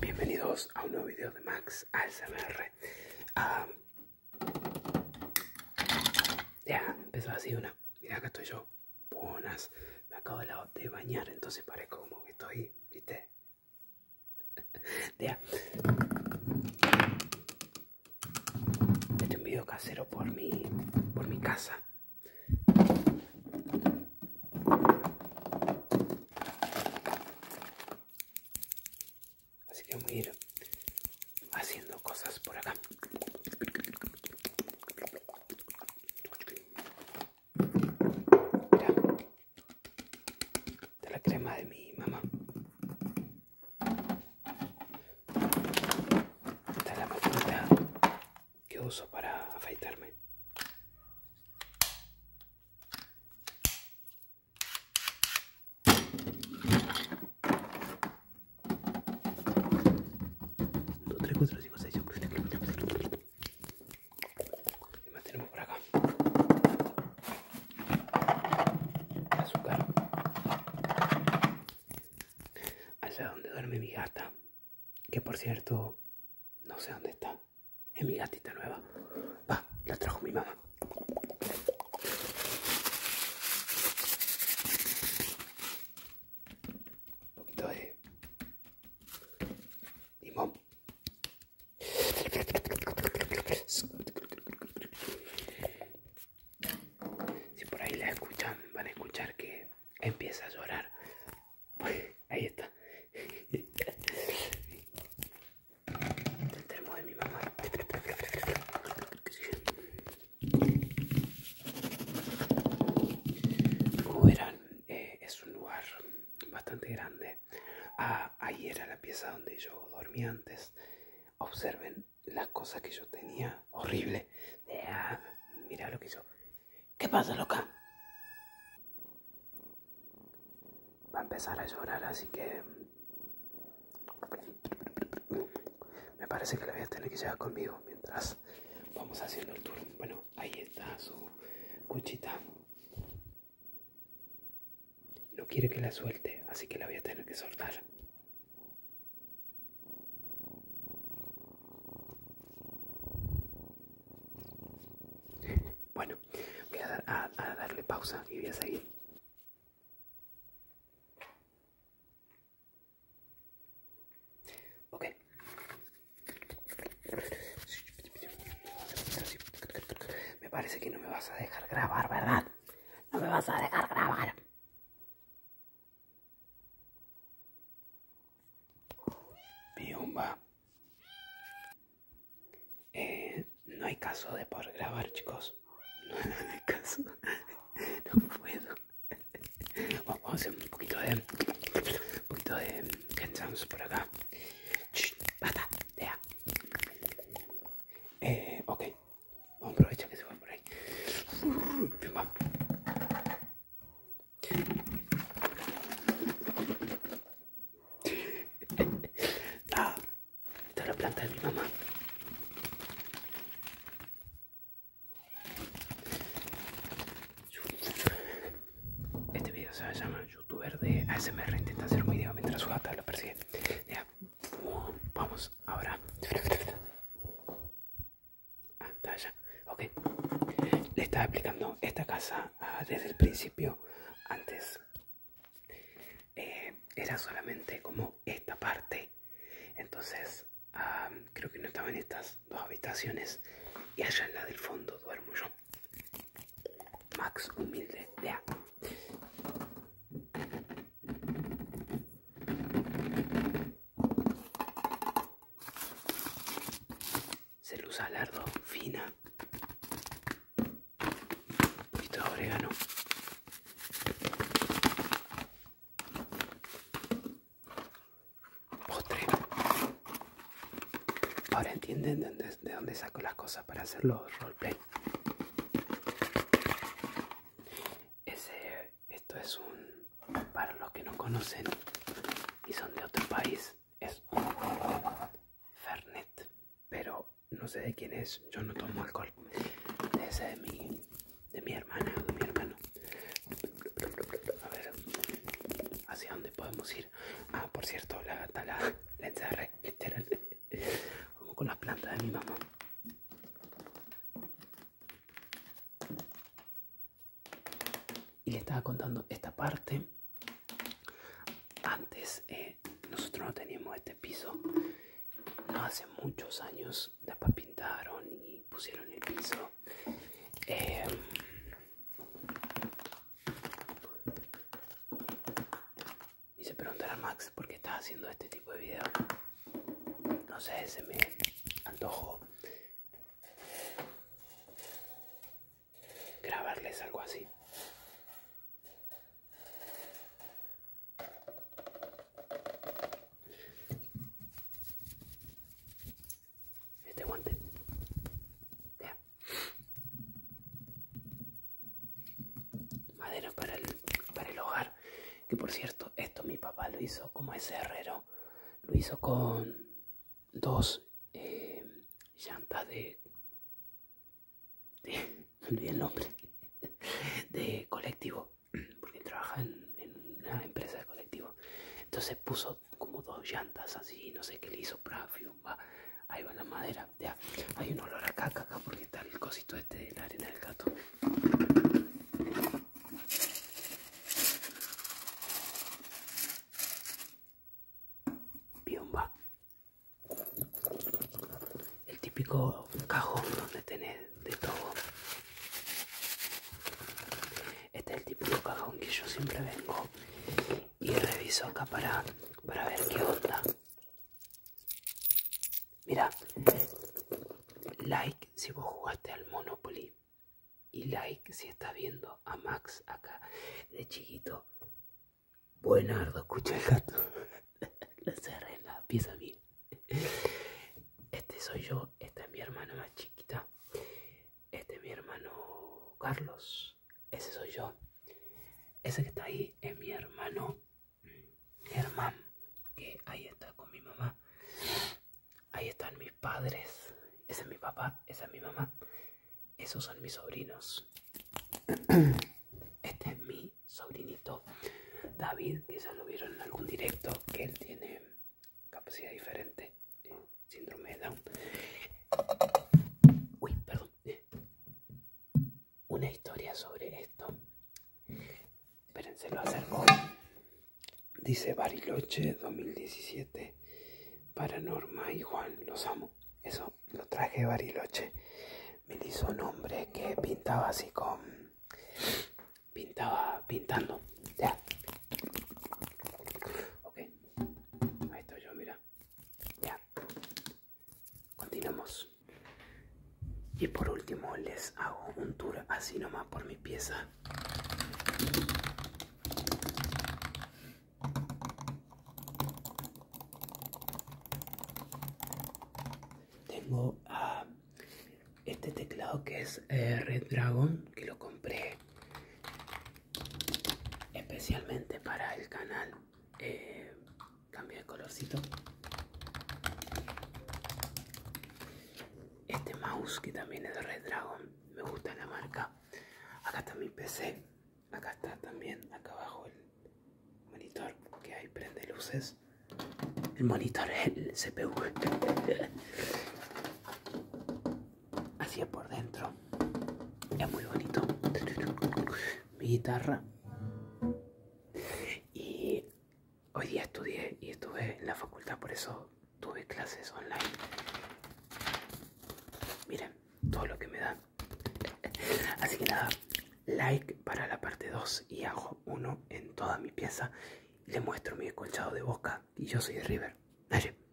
Bienvenidos a un nuevo video de Max ASMR. ya, empezó así una. Mira, acá estoy yo. Buenas. Me acabo de bañar, entonces parezco como que estoy, ¿viste? Ya. Este es un video casero por mi, por mi casa. Así que voy a haciendo cosas por acá. Mira, De la crema de mi mamá. Esta es la que uso para afeitarme. Dos, tres, cuatro, cinco, seis, ¿Qué más tenemos por acá? Azúcar allá donde duerme mi gata, que por cierto, no sé dónde está, es mi gatita nueva, va, la trajo mi mamá. Un poquito de si por ahí la escuchan, van a escuchar que empieza a llorar. Ahí está. El termo de mi mamá. Como verán, eh, es un lugar bastante grande. Ah, ahí era la pieza donde yo dormía antes. Observen las cosas que yo tenía horrible ah, mira lo que hizo. que pasa, loca? Va a empezar a llorar, así que... Me parece que la voy a tener que llevar conmigo mientras vamos haciendo el tour. Bueno, ahí está su cuchita. No quiere que la suelte, así que la voy a tener que soltar. Bueno, voy a, darle pausa y voy a seguir. Ok. Me parece que no me vas a dejar grabar, ¿verdad? No me vas a dejar grabar. Biumba. Eh, no hay caso de por grabar, chicos. No hay caso. No puedo. Vamos a hacer un poquito de. Un poquito de. Cansamos por acá. Chhh, bata, Eh, ok. Vamos, a aprovechar que se va por ahí. Ah, esta es la planta de mi mamá. Este video se llama youtuber de ASMR intenta hacer un video mientras su gata lo persigue. Vamos, ahora. Ok. Le estaba explicando esta casa ah, desde el principio. Antes eh, era solamente como esta parte. Entonces ah, creo que no estaba en estas dos habitaciones. Y allá en la del fondo duermo yo. Max humilde. Vea luz alardo fina. Y de orégano. Postre. Ahora entienden de dónde, saco las cosas para hacer los roleplay. Ese, esto es un, para los que no conocen y son de otro país, es un Fernet, pero no sé de quién es, yo no tomo alcohol. Ese de mi, de mi hermana o de mi hermano. A ver, hacia dónde podemos ir. Ah, por cierto, la gata la, encerré, como con las plantas de mi mamá. Y le estaba contando esta parte. Antes eh, nosotros no teníamos este piso. No hace muchos años. Después pintaron y pusieron el piso. Em, y se preguntará Max, ¿por qué está haciendo este tipo de video? No sé, se me antojó grabarles algo así. Este guante. Madera para el, para el hogar. Que por cierto, esto mi papá lo hizo como ese herrero. Lo hizo con dos eh, llantas de, de... el nombre. De colectivo. Porque trabaja en, una empresa de colectivo. Entonces puso como dos llantas así, no sé qué le hizo, Prafio Ahí va la madera, Hay un olor a caca porque está el cosito este de la arena del gato. Piomba. El típico cajón donde tenés de todo. Este es el típico cajón que yo siempre vengo y reviso acá para, para ver qué onda. Mira, like si vos jugaste al Monopoly y like si estás viendo a Max acá de chiquito. Buenardo, escucha el gato. La cerré en la Este soy yo, esta es mi hermana más chiquita. Este es mi hermano Carlos ese soy yo. Ese que está ahí es mi hermano hermano, mm, que ahí está con mi mamá. Ahí están mis padres. Ese es mi papá, esa es mi mamá. Esos son mis sobrinos. Este es mi sobrinito David, que ya lo vieron en algún directo, que él tiene capacidad diferente, eh, síndrome de Down. Uy, perdón una historia sobre esto. Espérense, lo acerco. Dice Bariloche 2017. Paranorma Norma y Juan, los amo. Eso lo traje Bariloche. Me hizo un hombre que pintaba así con. Pintaba pintando. Ya. Ok. Ahí estoy yo, mira ya, Continuamos. Y por último les hago un tour así nomás por mi pieza. Tengo ah, este teclado que es eh, Red Dragon, que lo compré especialmente para el canal eh, cambio de colorcito este mouse que también es de Red Dragon me gusta la marca acá está mi PC acá está también acá abajo el monitor que hay prende luces el monitor el CPU así por dentro es muy bonito mi guitarra y hoy día estudié y estuve en la facultad por eso tuve clases online miren todo lo que me da así que nada like para la parte 2 y hago uno en toda mi pieza le muestro mi colchado de boca y yo soy de River Dale.